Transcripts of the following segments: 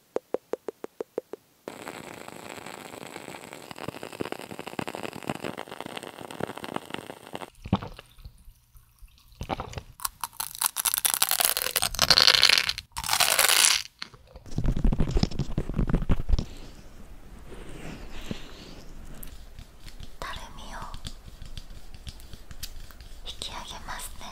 たるみを引き上げますね。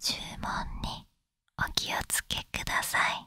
注文にお気をつけください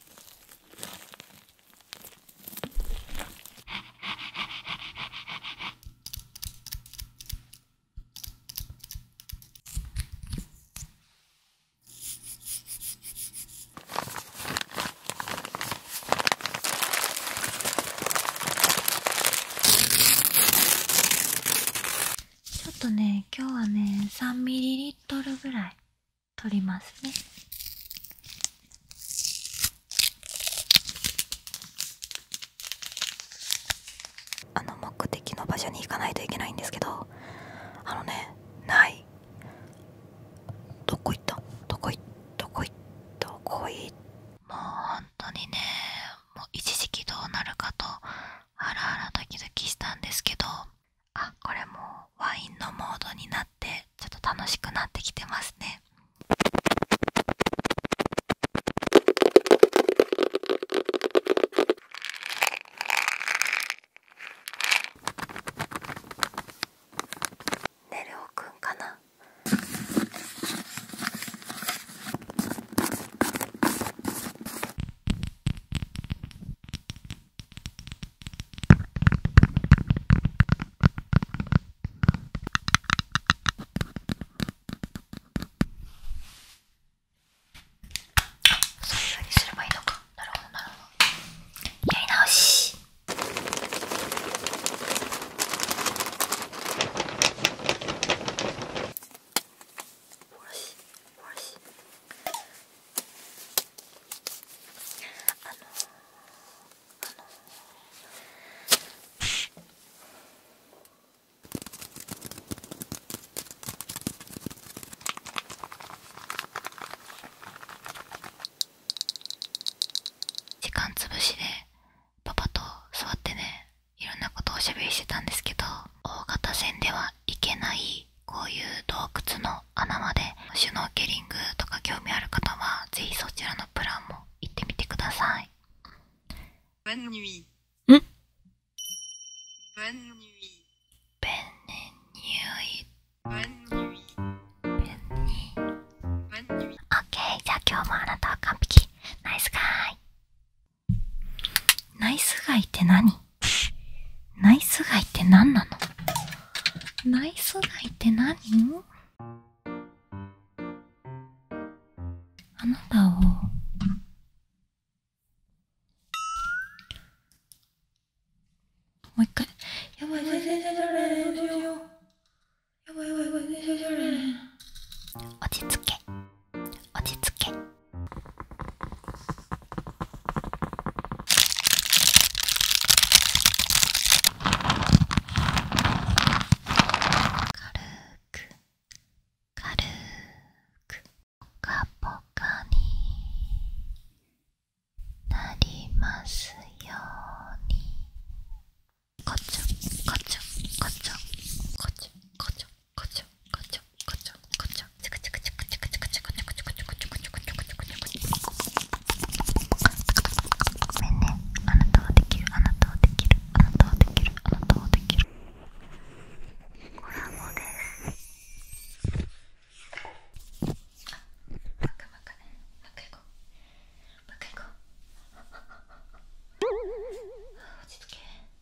ちょっとね今日はね3ミリリットルぐらい取りますねあの目的の場所に行かないといけないんですけどあのねないどこ行ったどこ行ったどこ行ったどこ行ったもう本当にねもう一時期どうなるかとハラハラドキドキしたんですけどあこれもワインのモードになってちょっと楽しくなってきてますねねるおくんかなそういうふうにすればいいのかなるほどなるほどやり直しおしおしあのあの時間つぶしでパパと座ってねいろんなことをおしゃべりしてたんですけど大型船では行けないこういう洞窟の穴までシュノーケリングとか興味ある方はぜひそちらのプランも行ってみてください。b o n n k じゃあ今日もあなたは完璧。ナイスガイ。ナイスガイって何ナイスガイって何なのナイスガイって何あなたをもう一回やばい全然喋られへんどうしようやばいやばいやばい全然喋られへん落ち着け落ち着けく軽くぽかぽかになりますようにこちょこちょこちょこちょこちょあなたはできるあなたはできるあなたはできるあなたはできるコラボですあバカバカねバカいこうバカいこう落ち着け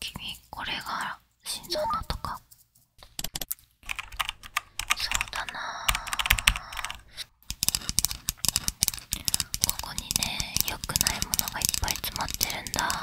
君これが心臓のとかそうだなここにね良くないものがいっぱい詰まってるんだ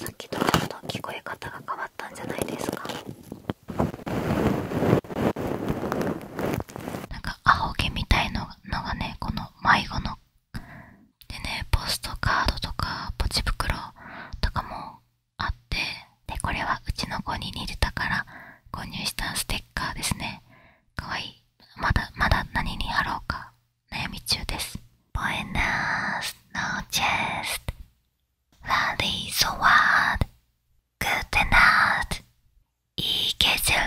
さっきとちょっと聞こえ方が変わったんじゃないですかなんかか青毛みたいのがねこの迷子のでねポストカードとかポチ袋とかもあってでこれはうちの子に似てたから購入したステッカーですねかわいいまだまだ何に貼ろうか悩み中ですボエナースノーチェストラリーソワードグッデナート İyi g e c e l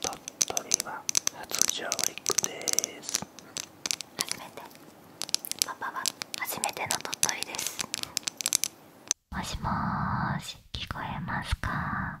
鳥取は初上陸です。初めて。パパは初めての鳥取です。もしもし、聞こえますか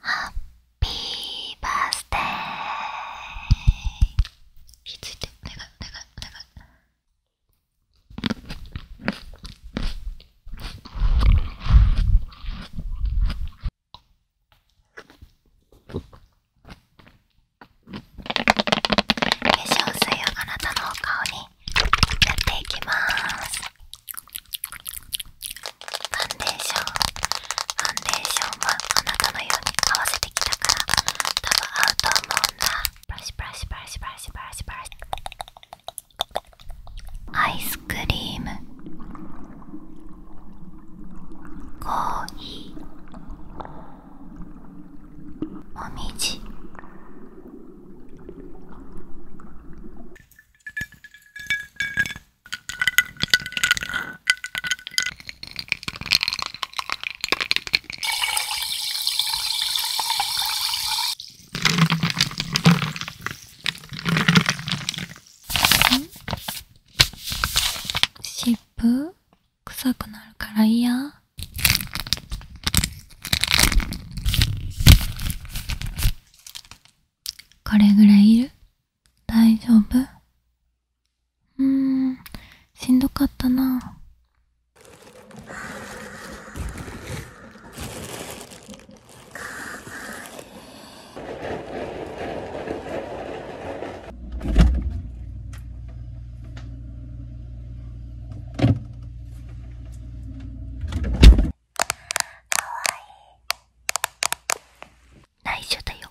ハッピーバースデー化粧水をあなたのお顔にやっていきますファンデーションファンデーションはあなたのように合わせてきたから多分合うと思うんだパシパシパシパシパシパシアイスクリームコーヒーもみじ湿布臭くなるから嫌これぐらいいる大丈夫うんしんどかったなかわいい。内緒だよ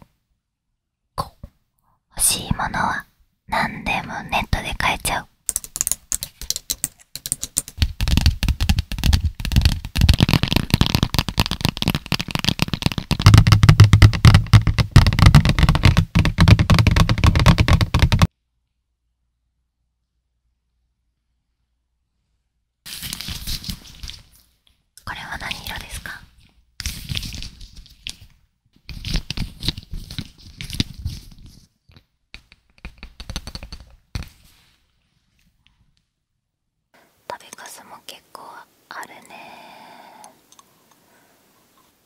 こう欲しいものは何でもネットで買えちゃうこれは何色ですか食べかすも結構あるね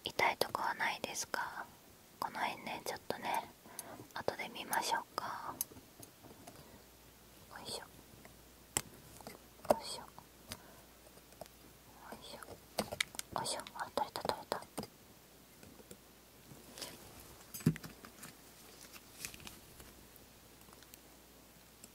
痛いとこはないですかこの辺ねちょっとね後で見ましょうかよいしょよいしょよいしょあいしょあ取れた取れた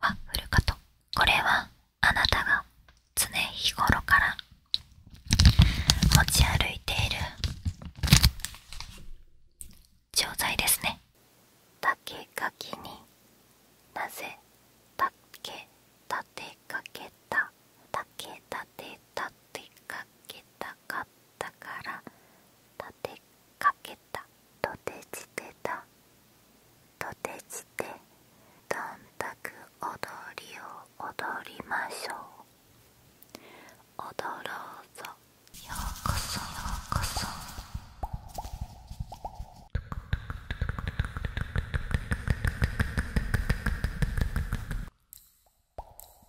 ワッフルカトこれはあなたが常日頃から持ち歩いている錠剤ですね竹かきになぜ竹立てかけた竹立て立てかけたかったから立てかけたとてじてたとてじてどんたく踊りを踊りましょう踊ろうぞようこそようこそ「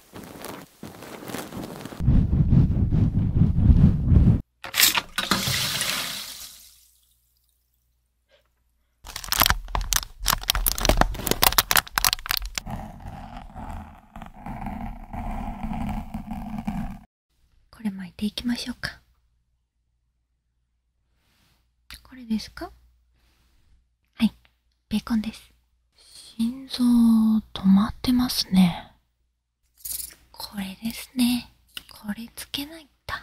これ巻いていきましょうかこれですかはいベーコンです。心臓止まってますね。これですね。これつけないと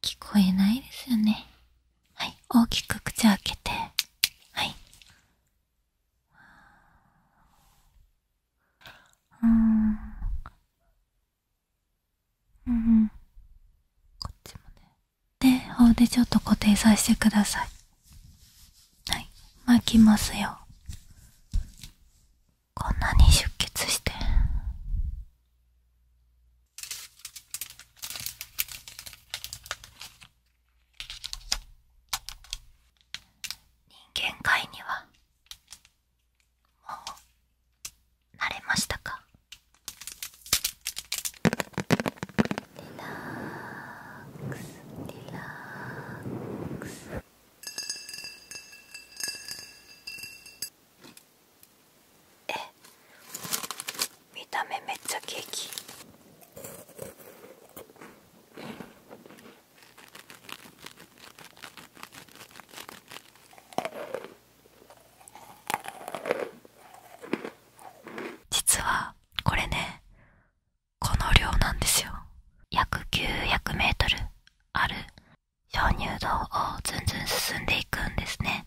聞こえないですよね。はい、大きく口開けて。はい。うん。うん、うん。こっちもね。でうでちょっと固定させてくださいはい巻きますよこんなに出血して人間界にはもう慣れましたかラックスリラックスえ見た目めっちゃケーキえ。実はこれねこの量なんですよ約 900m ある鍾乳洞をずんずん進んでいくんですね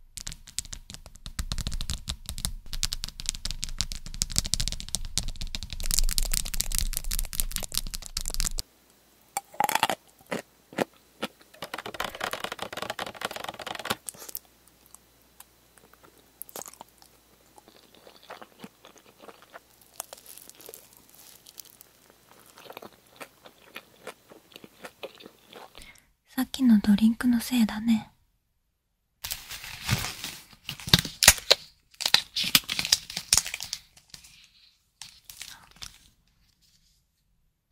さっきのドリンクのせいだね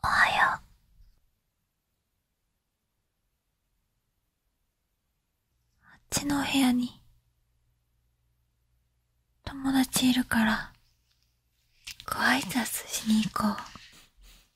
おはよう。あっちのお部屋に友達いるからご挨拶しに行こう。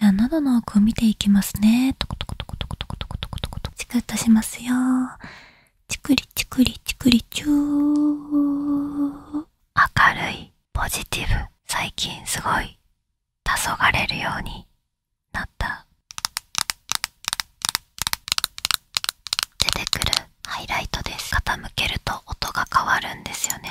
じ喉の奥を見ていきますねトコトコトコトコトコトコトコトコチクッとしますよチクリチクリチクリチュー明るいポジティブ最近すごい黄昏れるようになった出てくるハイライトです傾けると音が変わるんですよね